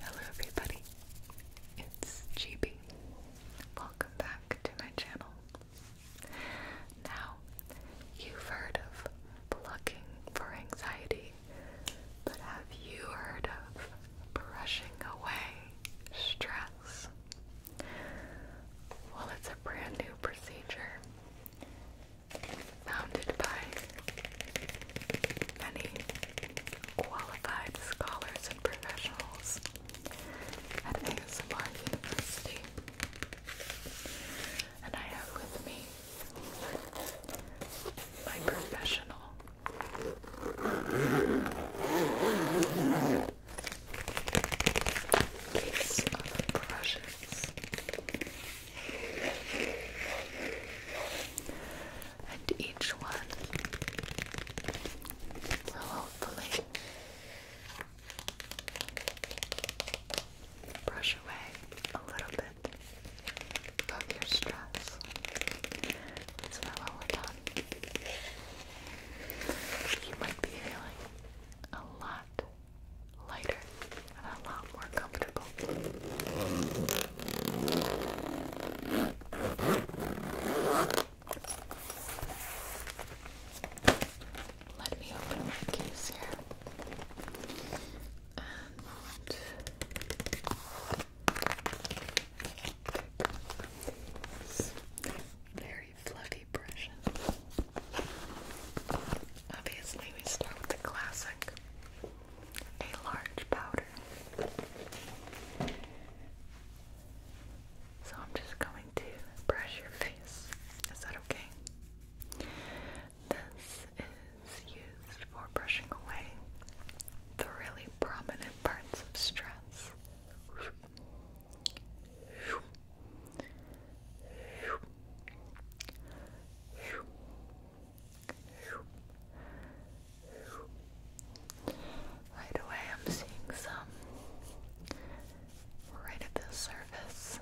Hello everybody, it's GB. Welcome back to my channel. Now, you've heard of plucking for anxiety, but have you heard of brushing away stress? Well, it's a brand new procedure founded by many qualified scholars and professionals at ASMR University. And I have with me my professional case of brushes. And each one will hopefully brush away a little bit of your stress. It's well we You might be feeling a lot lighter and a lot more comfortable. Let me open my case here. very fluffy brushes. Obviously, we start with the classic a large powder. So I'm just going to brush your face. Is that okay? This is used for brushing away the really prominent parts of stress. Right away, I'm seeing some right at the surface.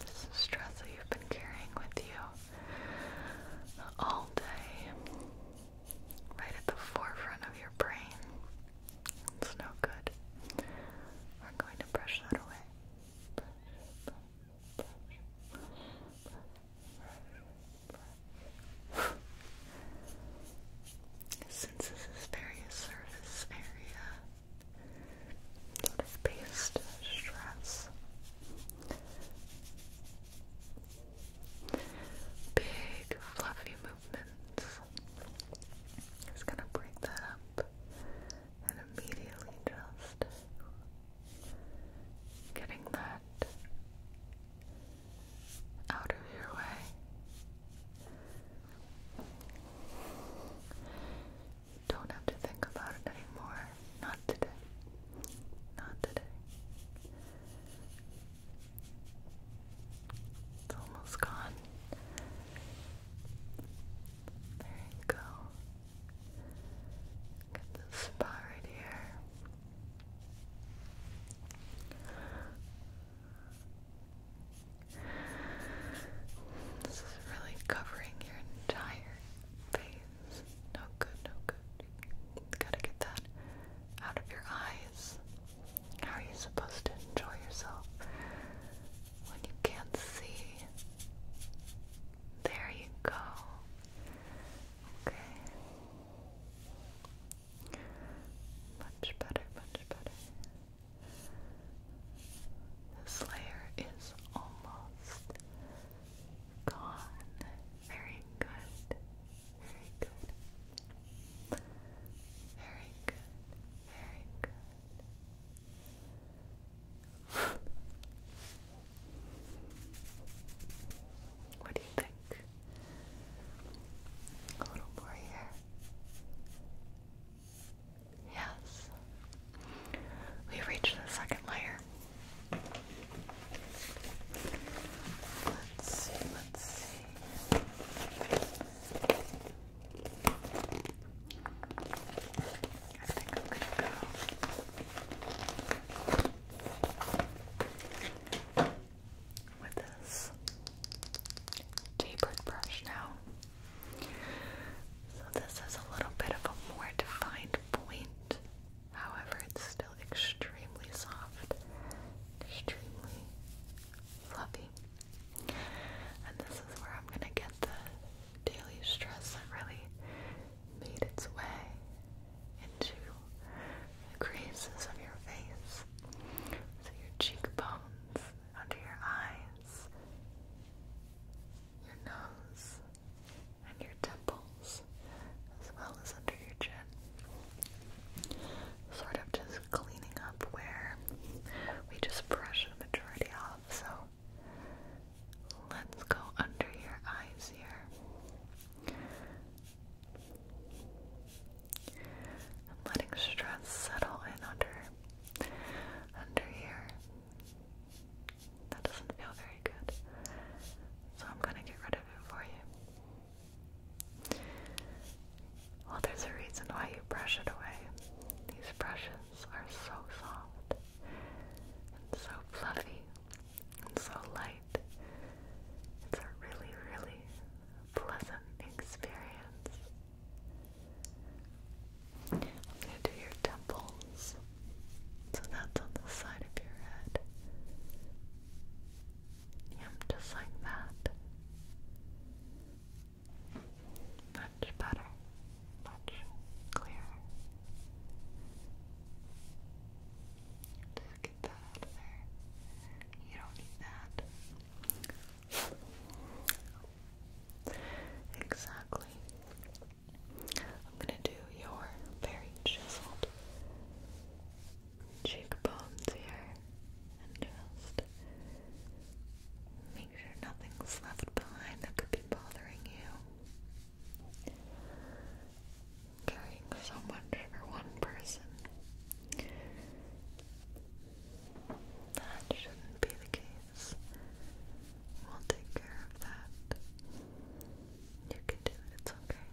This is stress that you've been carrying with you all day, right at the forefront of your brain. It's no good. We're going to brush that away. Since this is very surface area, sort of based stress. Big fluffy movements. Just gonna break that up and immediately just getting that out of your way. don't have to think about it anymore. Not today. Not today. It's almost gone. There you go. Get this spot right here. This is really covering your entire face. No good, no good. gotta get that out of your eyes. How are you supposed to enjoy yourself when you can't see. There you go. Okay. Much better, much better. This layer is almost gone. Very good. Very good. Very good. Very good what do you think? A little more here. Yes. We reached the second layer. Let's see, let's see. I think I'm gonna go. With this tapered brush now. So, this is a little bit of a more defined point, however, it's still extremely soft, extremely fluffy. And this is where I'm gonna get the daily stress that really made its way into the creases of your face, so your cheekbones, under your eyes, your nose, and your temples, as well as under your chin. Sort of just cleaning up where we just brushed the majority off. So let's go under your eyes here. letting stress settle in under, under here. That doesn't feel very good. So I'm gonna get rid of it for you. Well, there's a reason why you brush it away. These brushes are so soft and so fluffy and so light. It's a really, really pleasant experience. I'm going to do your temples. So that's on the side of your head. Yep, just like that. Much better, much clearer. Just get that You don't need that. Exactly. I'm gonna do your very chiseled cheekbones here just make sure nothing's left behind that could be bothering you. Caring so much for one person. That shouldn't be the case. We'll take care of that. You can do it, it's okay.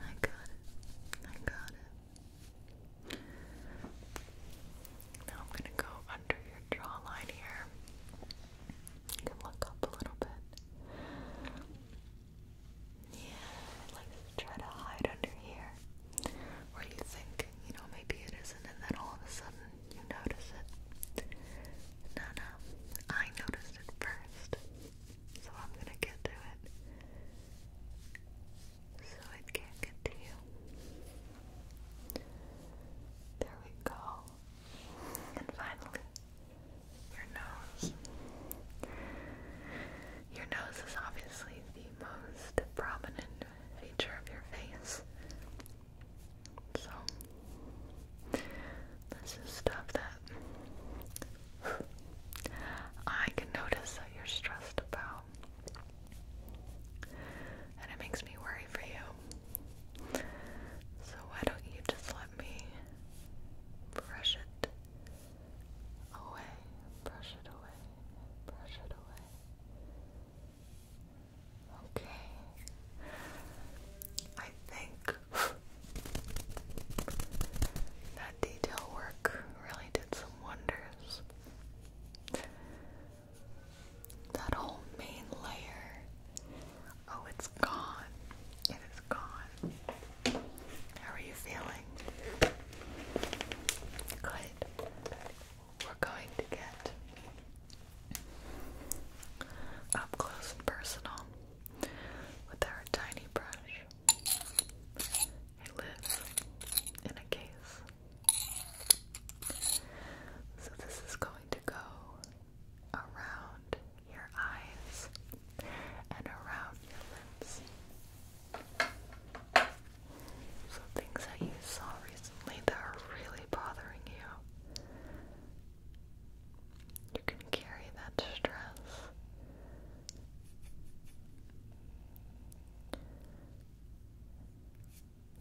I got it. I got it. Now I'm going to go under your jawline here. You can look up a little bit. Yeah, like try to hide under here. Where you think, you know, maybe it isn't, and then all of a sudden you notice it. No, no, I noticed it first. So I'm gonna get to it so it can't get to you. There we go. And finally, your nose. Your nose is obviously the most prominent feature of your face. So, this is stuff that I can notice that you're stressed about. And it makes me worry for you. So why don't you just let me brush it away? Brush it away. Brush it away. Okay. I think that detail work really did some wonders. That whole main layer, oh, it's gone. It is gone. How are you feeling? Good. We're going to get up close and personal with our tiny brush. I live in a cave. So this is going to go around your eyes and around your lips. So things that you saw recently that are really bothering you. You can carry that stress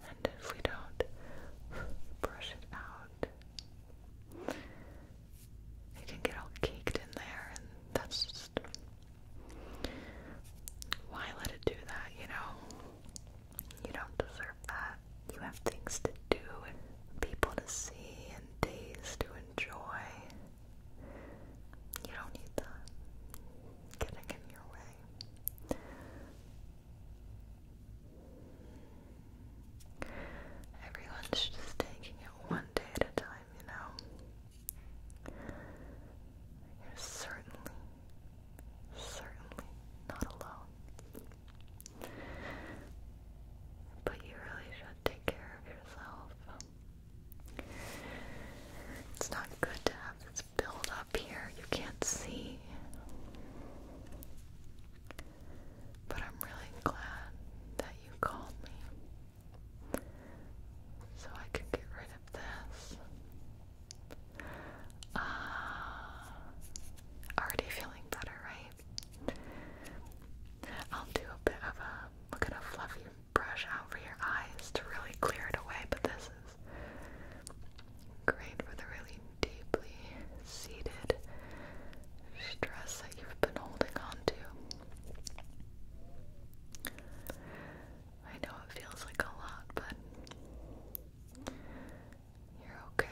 and if we don't brush it out, it can get all caked in there, and that's just why let it do that, you know? You don't deserve that. You have things to do, and people to see, and days to enjoy. You don't need that getting in your way. Everyone's just taking it one day at a time, you know? You're certainly, certainly not alone. But you really should take care of yourself. It's not good to have this build up here. You can't see. But I'm really glad that you called me so I could get rid of this. Uh, already feeling better, right? I'll do a bit of a we're going fluffy brush out for your eyes to really clear it away, but this is great for the really deeply seated stress that you've been holding on I know it feels like a lot, but you're okay.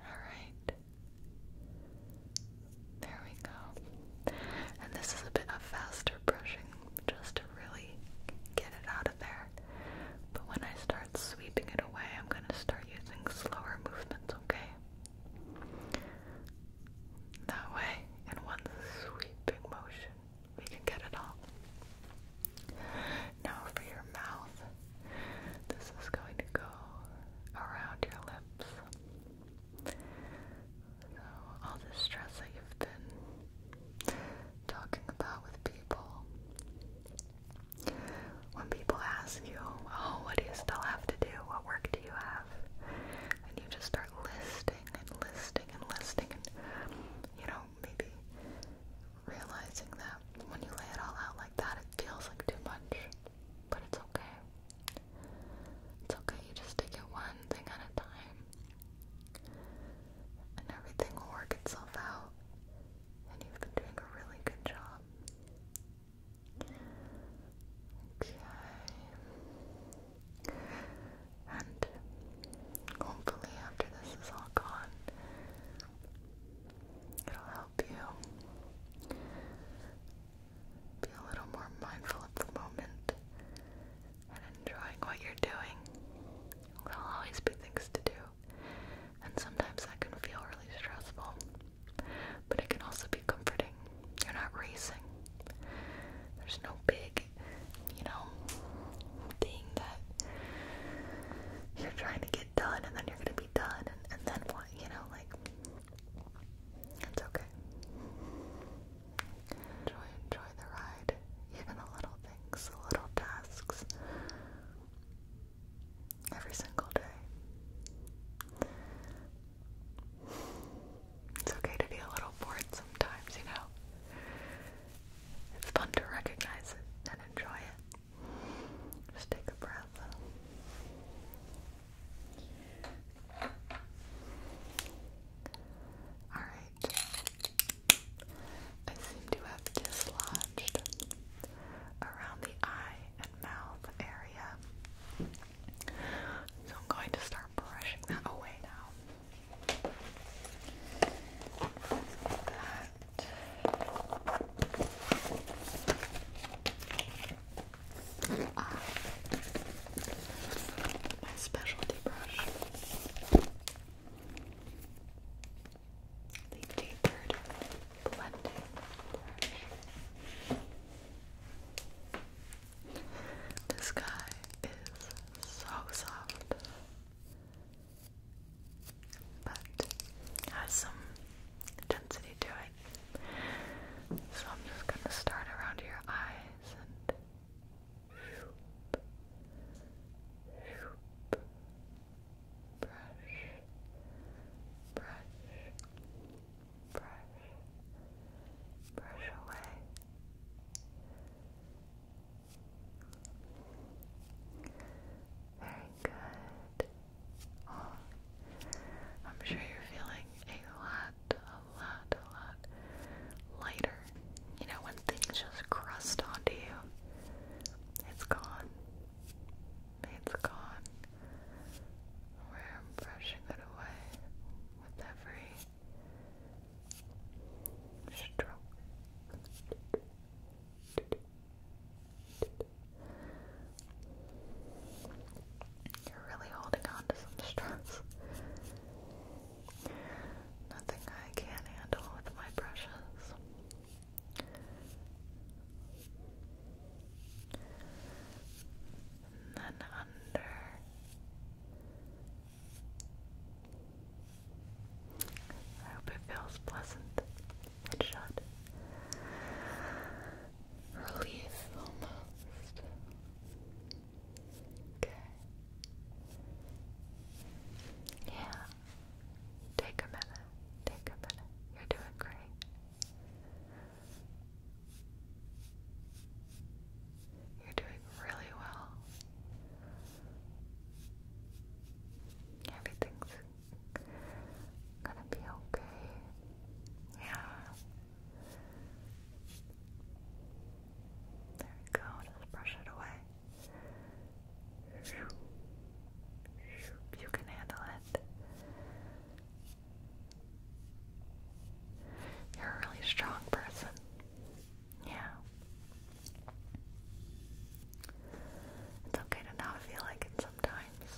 Alright. There we go. And this is a bit of faster brushing just to really get it out of there. But when I start sweeping it away, I'm going to start using slower movements, okay? That way, in one sweeping motion, we can get it all. Now for your mouth. This is going to go around your lips. So all the stress that you've been talking about with people. When people ask you, oh, what do you still have to do? What work do you have? And you just start listing and listing and listing and, you know, maybe realizing that when you lay it all out like that, it feels like too much, but it's okay. It's okay, you just take it one thing at a time, and everything will work itself out, and you've been doing a really good job. Okay. And hopefully, after this is all gone, It'll help you be a little more mindful of the moment and enjoying what you're doing. There'll always be things to do, and sometimes that can feel really stressful, but it can also be comforting. You're not racing, there's no big, you know, thing that you're trying to get done and then you're gonna be done and, then what, you know, like it's okay. Enjoy enjoy the ride. Even the little things, the little tasks every single day. It's okay to be a little bored sometimes, you know. It's fun to recognize it and enjoy it. Just take a breath. Alright. I seem to have dislodged around the eye and mouth area. So I'm going to start brushing that away now. That my specialty brush. The tapered blending brush. This guy is so soft but has some density to it. So I'm just gonna start around your eyes and brush, brush, brush, brush away. Very good. Oh, I'm sure you're feeling a lot, a lot, a lot lighter. You know, when things just crust onto you, it's gone. It's gone. We're brushing it away with every stroke. You're really holding on to some stress. Nothing I can't handle with my brushes. then under I hope it feels pleasant. It should. Relief almost. Okay. Yeah. Take a minute. Take a minute. You're doing great. You're doing really well. Everything's gonna be okay. Yeah. There we go. Just brush it away. You can handle it. You're a really strong person. Yeah. It's okay to not feel like it sometimes.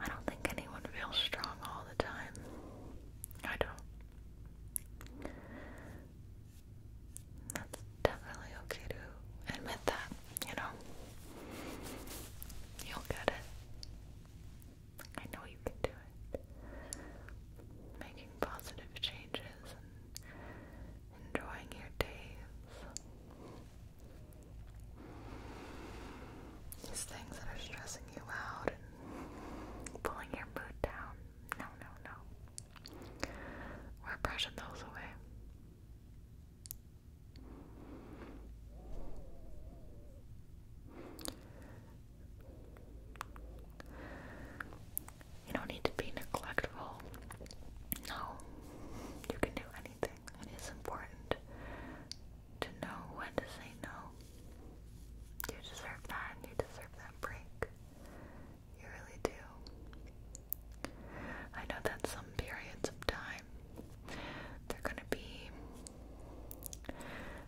I don't think anyone feels strong all the time. I don't. That's definitely okay to admit that, you know? You'll get it. I know you can do it. Making positive changes and enjoying your days. These things that are stressing you out and pulling your mood down. No, no, no. We're brushing those away. You don't need to be neglectful. No, you can do anything. It is important to know when to say no. You deserve that, and you deserve that break. You really do. I know that some periods of time they're gonna be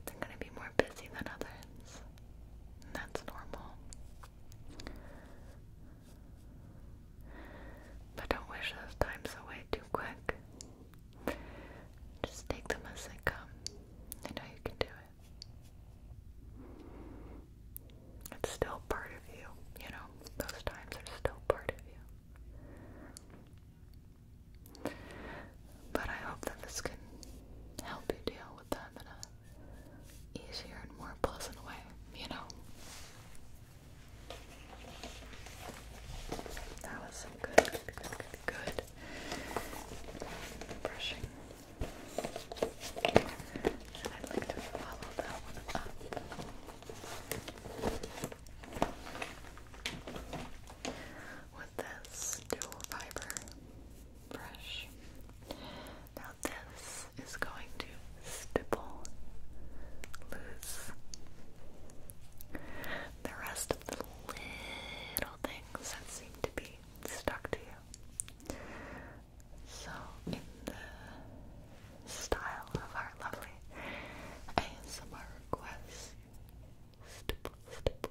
they're gonna be more busy than others. That's normal. But don't wish those times away too quick. Just take them as they come. I know you can do it. It's still part of you, you know? Those times are still part of you. But I hope that this can help you deal with in a easier and more pleasant way, you know? That was good, good, brushing. i like to follow that up. With this dual fiber brush. Now this is going to stipple loose the rest of the little things that seem to be stuck to you. So in the style of our lovely ASMR request, stipple, stipple.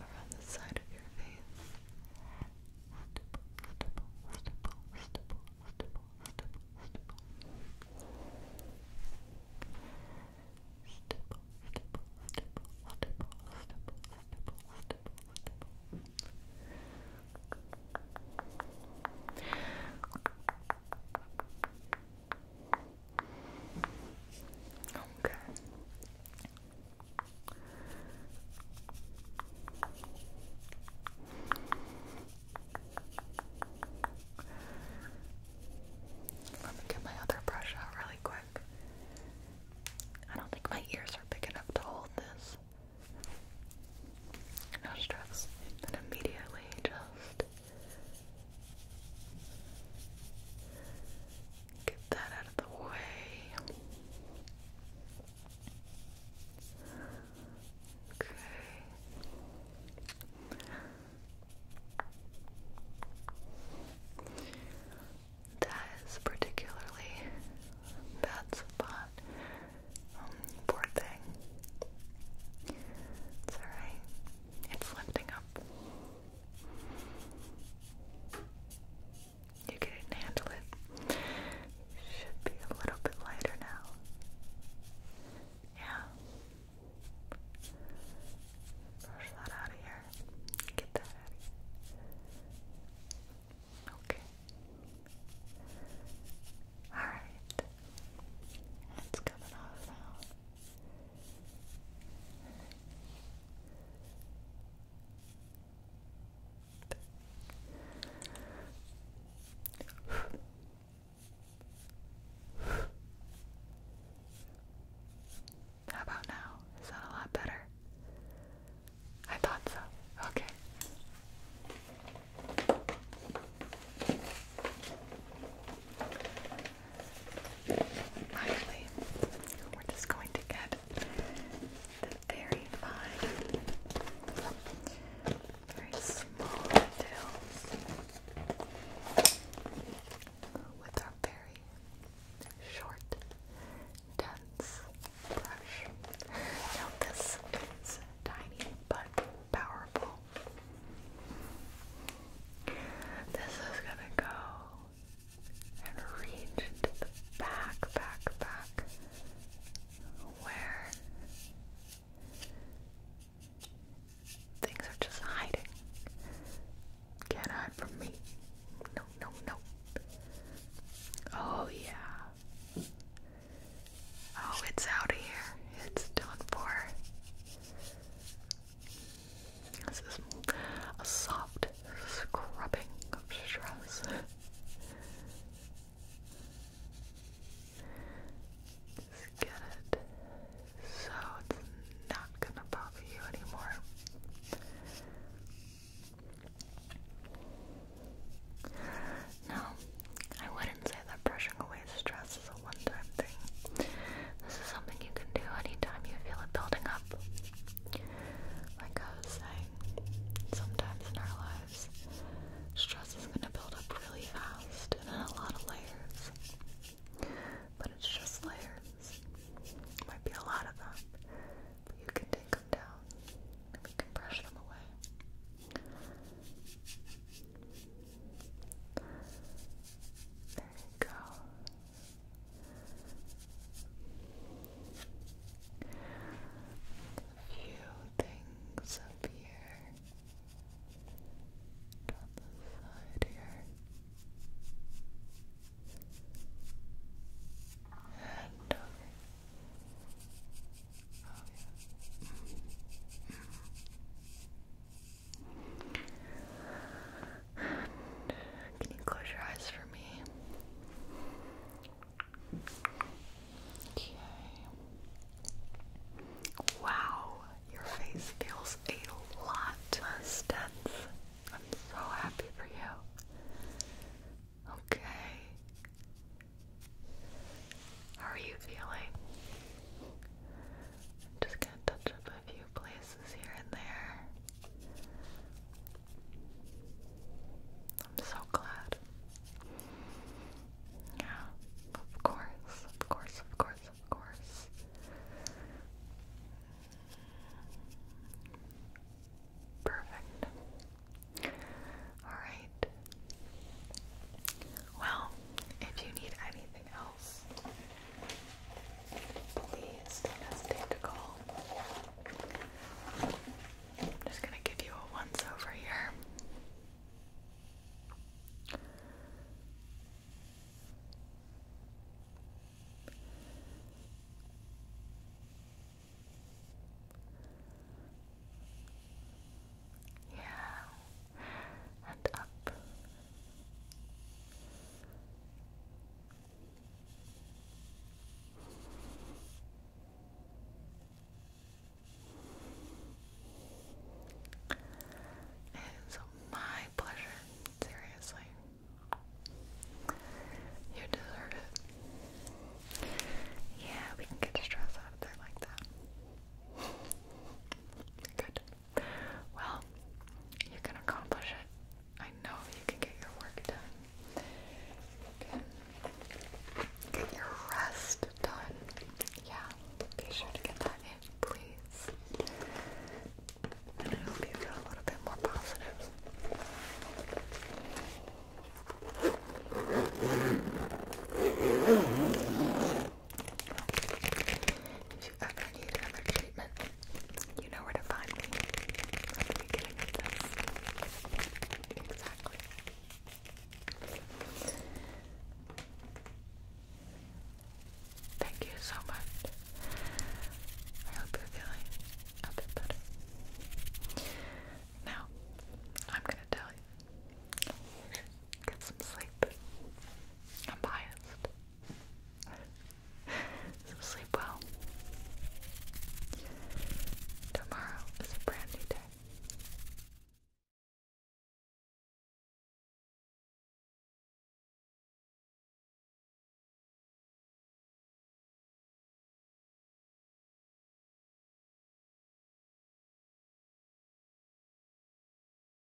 around the side of your face. Stipple, stipple, stipple, stipple, stipple, stipple, stipple. Stipple, stipple, stipple, stipple, stipple, stipple, stipple, stipple. Okay. Let me get my other brush out really quick. I don't think my ears are big enough to hold this. No stress. And immediately just Get that out of the way. Okay. That is particularly bad spot. Um, poor thing. It's alright. It's lifting up. You can handle it. Should be a little bit lighter now. Yeah. Brush that out of here. Get that out Okay. Alright. It's coming off now. How about now? Is that a lot better? I thought so. Okay. Finally, we're just going to get the very fine, very small details with our very short, dense brush. Now this is tiny but powerful. This is gonna go and reach to the back, back, back, where things are just hiding. Can't hide from me. No, no, no. Oh, yeah. Oh, it's out of here. It's done for. This is a soft scrubbing of stress. Just get it so it's not gonna bother you anymore. No, I wouldn't say that brushing away stress is a one thing. This is something you can do anytime you feel it building up. Like I was saying, sometimes in our lives, stress is going to build up really fast in a lot of layers. But it's just layers. might be a lot of them, but you can take them down and can brush them away. There you go. A few things up here. On the side here. And uh, oh, mm-hmm. Mm-hmm. Can you close your eyes for me? Okay. Wow, your face feels a lot less dense. I'm so happy for you. Okay. How are you feeling? I'm just gonna touch up a few places here and there. I'm so glad. Yeah, of course, of course, of course, of course. Perfect. Alright. Well, if you need anything else, please don't hesitate to call. I'm just gonna give you a once over here. Yeah, and up it is my pleasure, seriously. You deserve it. Yeah, we can get stress out of there like that. Good. Well, you can accomplish it. I know you can get your work done. get your rest done. Yeah, be sure to get that in, please. And I hope you feel a little bit more positive. If you ever need another treatment, you know where to find me. Exactly. Thank you so much. I hope you're feeling a bit better. Now, I'm gonna tell you. Get some sleep. I'm biased so sleep well. Tomorrow is a brand new day.